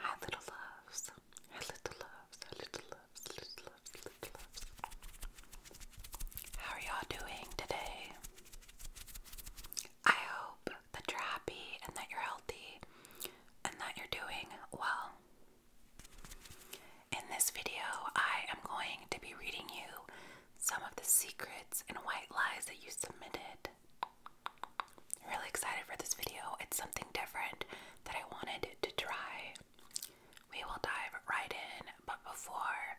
Hi little loves. Hi little loves. Hi little loves. Little loves. Little loves. How are y'all doing today? I hope that you're happy and that you're healthy and that you're doing well. In this video, I am going to be reading you some of the secrets and white lies that you submitted really excited for this video. It's something different that I wanted to try. We will dive right in, but before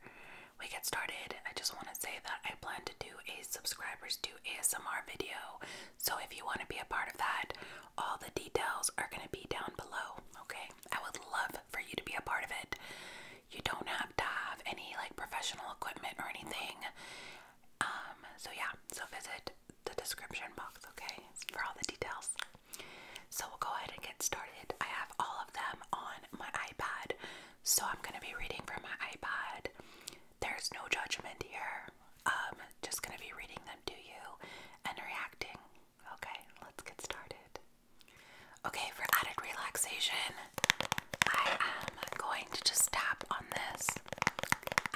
we get started, I just want to say that I plan to do a subscribers do ASMR video. So if you want to be a part of that, all the details are going to be down below, okay? I would love for you to be a part of it. You don't have to have any like professional equipment or anything. Um, so yeah, so visit the description box, okay, for all the details. So we'll go ahead and get started. I have all of them on my iPad, so I'm going to be reading from my iPad. There's no judgment here. Um, just going to be reading them to you and reacting. Okay, let's get started. Okay, for added relaxation, I am going to just tap on this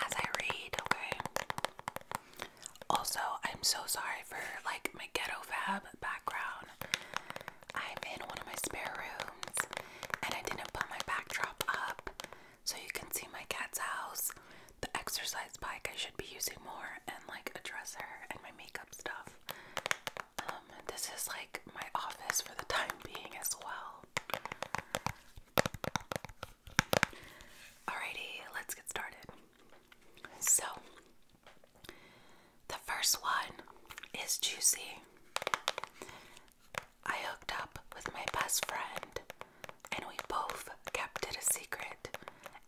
as I read, okay? Also, I'm so sorry for like my ghetto fab background. I'm in one of my spare rooms and I didn't put my backdrop up so you can see my cat's house, the exercise bike I should be using more, and like a dresser and my makeup stuff. Um, this is like my office for the time being as well. Alrighty, let's get started. So, the first one is juicy. I hooked up with my best friend, and we both kept it a secret,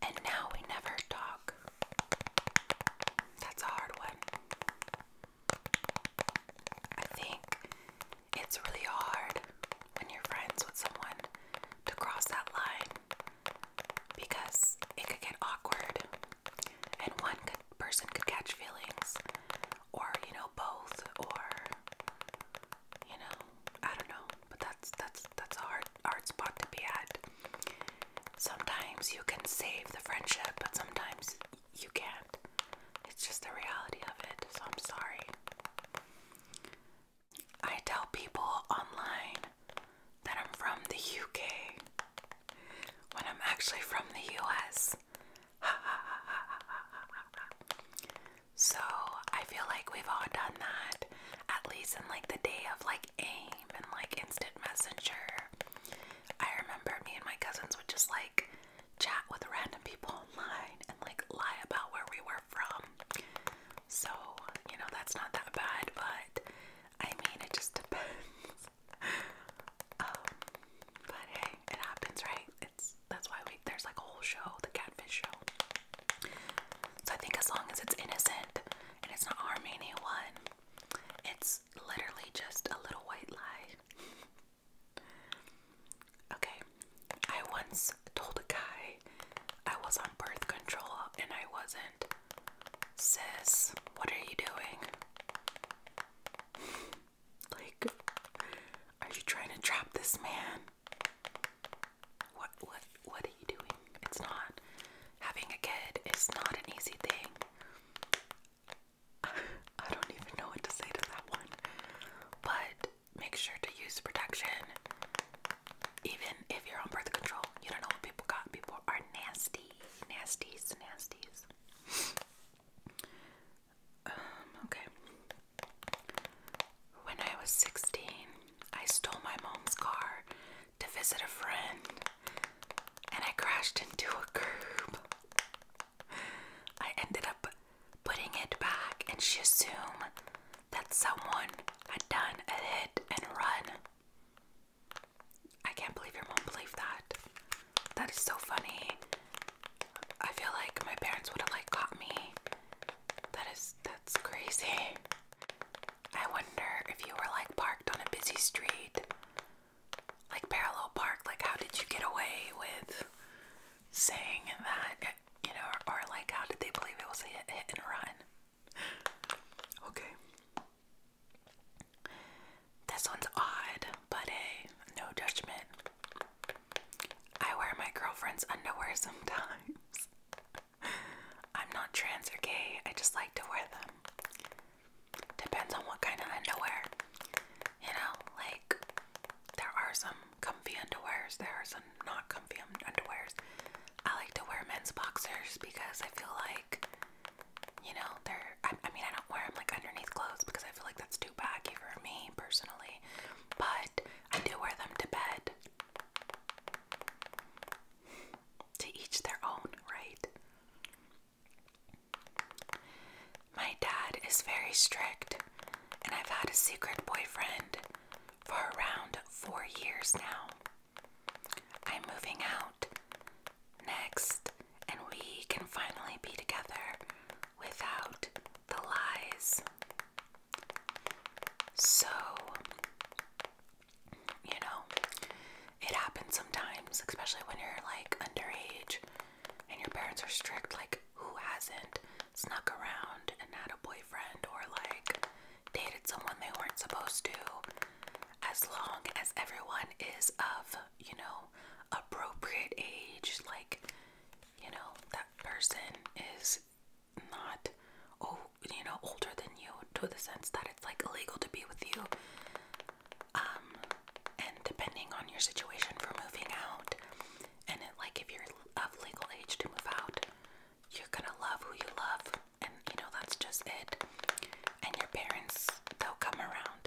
and now we never talk. That's a hard one. I think it's really hard when you're friends with someone to cross that line because it could get awkward and one person could catch feelings or you know both or you know I don't know but that's that's that's a hard hard spot to be at sometimes you can save the friendship but sometimes you can't. It's just the reality of it, so I'm sorry. I tell people online that I'm from the UK when I'm actually from the US. so I feel like we've all done that, at least in like the day of like AIM and like instant messenger. I remember me and my cousins would just like chat with random people online and like lie about where we were from. So, you know, that's not that bad, but I mean, it just depends. Um, but hey, it happens, right? It's that's why we there's like a whole show, the catfish show. So I think as long as it's innocent and it's not harming anyone, it's literally just a little white lie. Okay, I once told a guy I was on birth control and I wasn't. Sis, what are you doing? like, are you trying to trap this man? What, what, what are you doing? It's not. Having a kid is not an easy thing. I don't even know what to say to that one. But make sure to use protection. Even if you're on birth control, you don't know what people got. People are nasty. Nasties, nasties. Um, okay. When I was 16, I stole my mom's car to visit a friend and I crashed into a curb. I ended up putting it back, and she assumed that someone had done a hit and run. I can't believe your mom believed that. That is so funny. I feel like my parents would have like caught me. That is that's crazy. I wonder if you were like parked on a busy street like parallel park like how did you get away with saying that you know or, like how did they believe it was a hit, and run okay this one's odd but hey no judgment i wear my girlfriend's underwear sometimes i'm not trans or gay i just like to wear them depends on what kind of underwear you know, like there are some comfy underwears, there are some not comfy underwears. I like to wear men's boxers because I feel like, you know, they're, I, mean, I don't wear them like underneath clothes because I feel like that's too baggy for me personally, but I do wear them to bed. To each their own, right? My dad is very strict, and I've had a secret boyfriend for around four years now. I'm moving out next, and we can finally be together without the lies. So, you know, it happens sometimes, especially when you're like underage and your parents are strict, like who hasn't snuck around and had a boyfriend or like dated someone they weren't supposed to? As long as everyone is of, you know, appropriate age, like, you know, that person is not, oh, you know, older than you to the sense that it's like illegal to be with you. Um, and depending on your situation for moving out, and like if you're of legal age to move out, you're gonna love who you love, and you know that's just it. And your parents, they'll come around.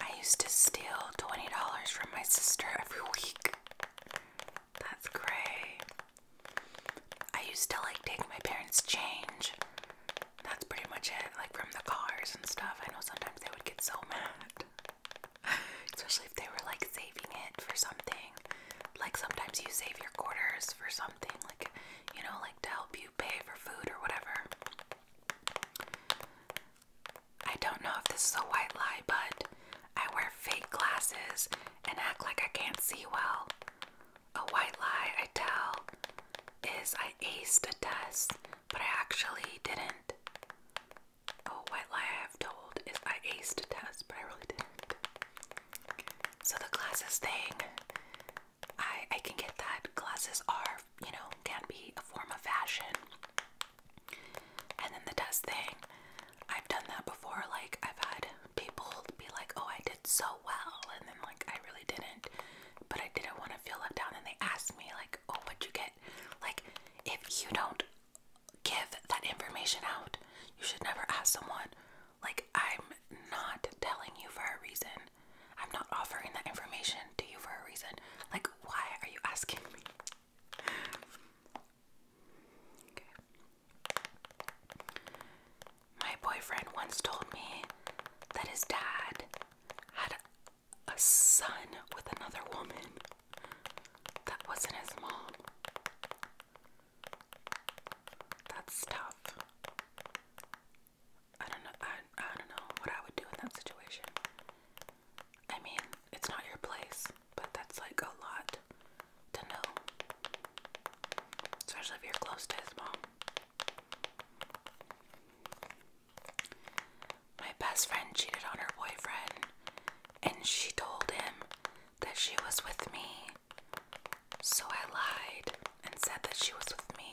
I used to steal $20 from my sister every week. That's great. I used to like take my parents' change that's pretty much it. Like from the cars and stuff, I know sometimes they would get so mad. Especially if they were like saving it for something. Like sometimes you save your quarters for something, like you know, like to help you pay for food or whatever. I don't know if this is a white lie, but I wear fake glasses and act like I can't see well. A white lie I tell is I aced a test but I actually didn't. Oh, white lie I have told is I aced a test, but I really didn't. So the glasses thing, I I can get that glasses are you know can be a form of fashion. And then the test thing, I've done that before. Like I've had people be like, "Oh, I did so well," and then like I really didn't but I didn't want to feel let down. And they asked me, like, oh, what'd you get? Like, if you don't give that information out, you should never ask someone. Like, I'm not telling you for a reason. I'm not offering that information to you for a reason. Like, why are you asking me? My boyfriend once told me that his dad had a son with another woman that wasn't his mom. That's tough. I don't know. I, I don't know what I would do in that situation. I mean, it's not your place, but that's like a lot to know. Especially if you're close to his mom. My best friend cheated on her boyfriend, and she told him that she was with me. So I lied and said that she was with me.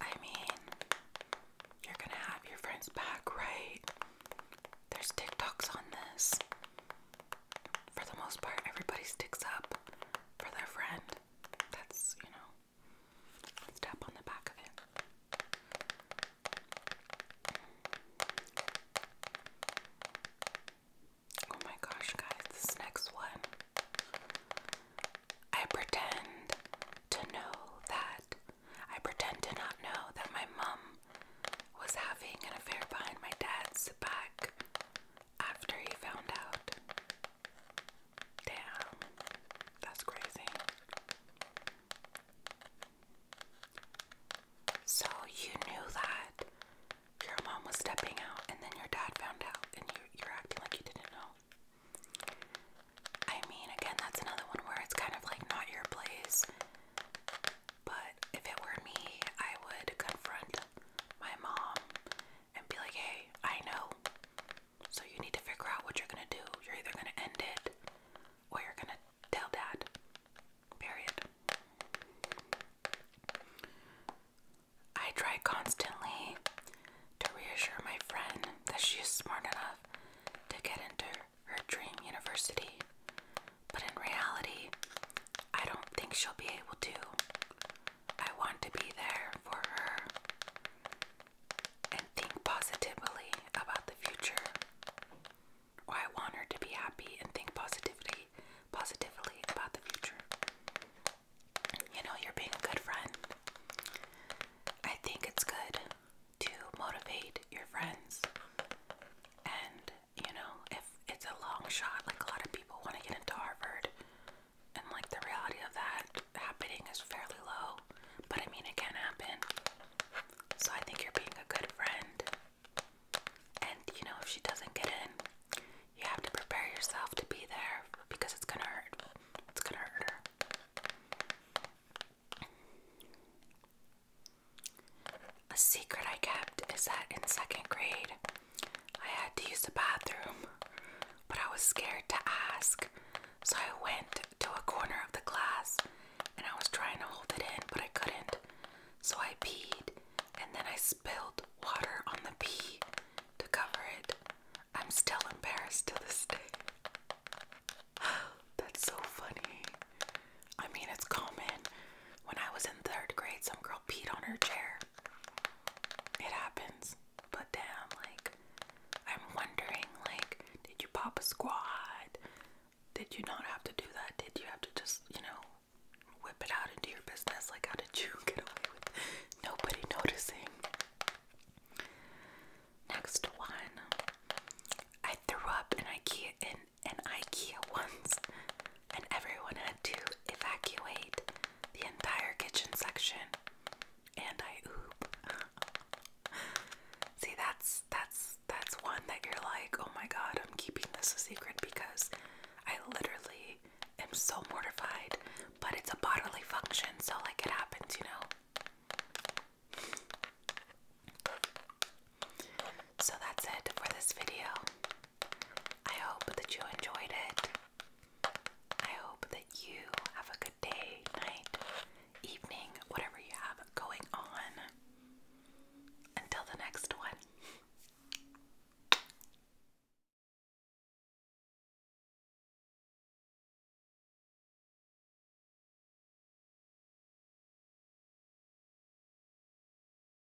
I mean, you're gonna have your friends back, right? There's TikToks on this for the most part, everybody sticks up for their friend. That's, you know, let on the back of it. Oh my gosh, guys, this next one. I pretend to know that. I pretend to not know that my mom was having an affair behind my dad's back after he found out. Damn, that's crazy. So you knew that your mom was stepping out, and then your dad found out, and you, you're acting like you didn't know. I mean, again, that's another one where it's kind of like not your place. But if it were me, I would confront my mom and be like, hey, I know. So you need to figure out what you're gonna do. You're either gonna end it or you're gonna tell dad. Period. I try constantly to reassure my friend that she's smart enough to get into her dream university. But in reality, I don't think she'll be able to. I want to be there for her and think positively about the future. I want her to be happy and think positively positively about the future. You know, you're being a good friend. I think it's good to motivate your friends and you know, if it's a long shot, like a lot of people want to get into Harvard, and like the reality of that happening is fairly low, but I mean, it can happen. So I think you're being a good friend. And you know, if she doesn't get in, you have to prepare yourself to be there because it's gonna hurt. It's gonna hurt her. A secret I kept is that in second grade, I had to use the bathroom, but I was scared to ask, so I went to a corner of the class, and I was trying to hold it in, but I couldn't. So I peed and then I spilled water on the pee to cover it. I'm still embarrassed to this day. That's so funny. I mean, it's common. When I was in third grade, some girl peed on her chair. It happens. But damn, like, I'm wondering, like, did you pop a squid? Did you not have to do that? Did you have to just, you know, whip it out into your business? Like, how did you get away with nobody noticing? Next one. I threw up in IKEA in an IKEA once and everyone had to evacuate the entire kitchen section. And I oop. See, that's that's that's one that you're like, oh my god, I'm keeping this a secret because I literally am so mortified. But it's a bodily function, so like it happens, you know. So that's it for this video. I hope that you enjoyed it. I hope that you have a good day, night, evening, whatever you have going on. Until the next one.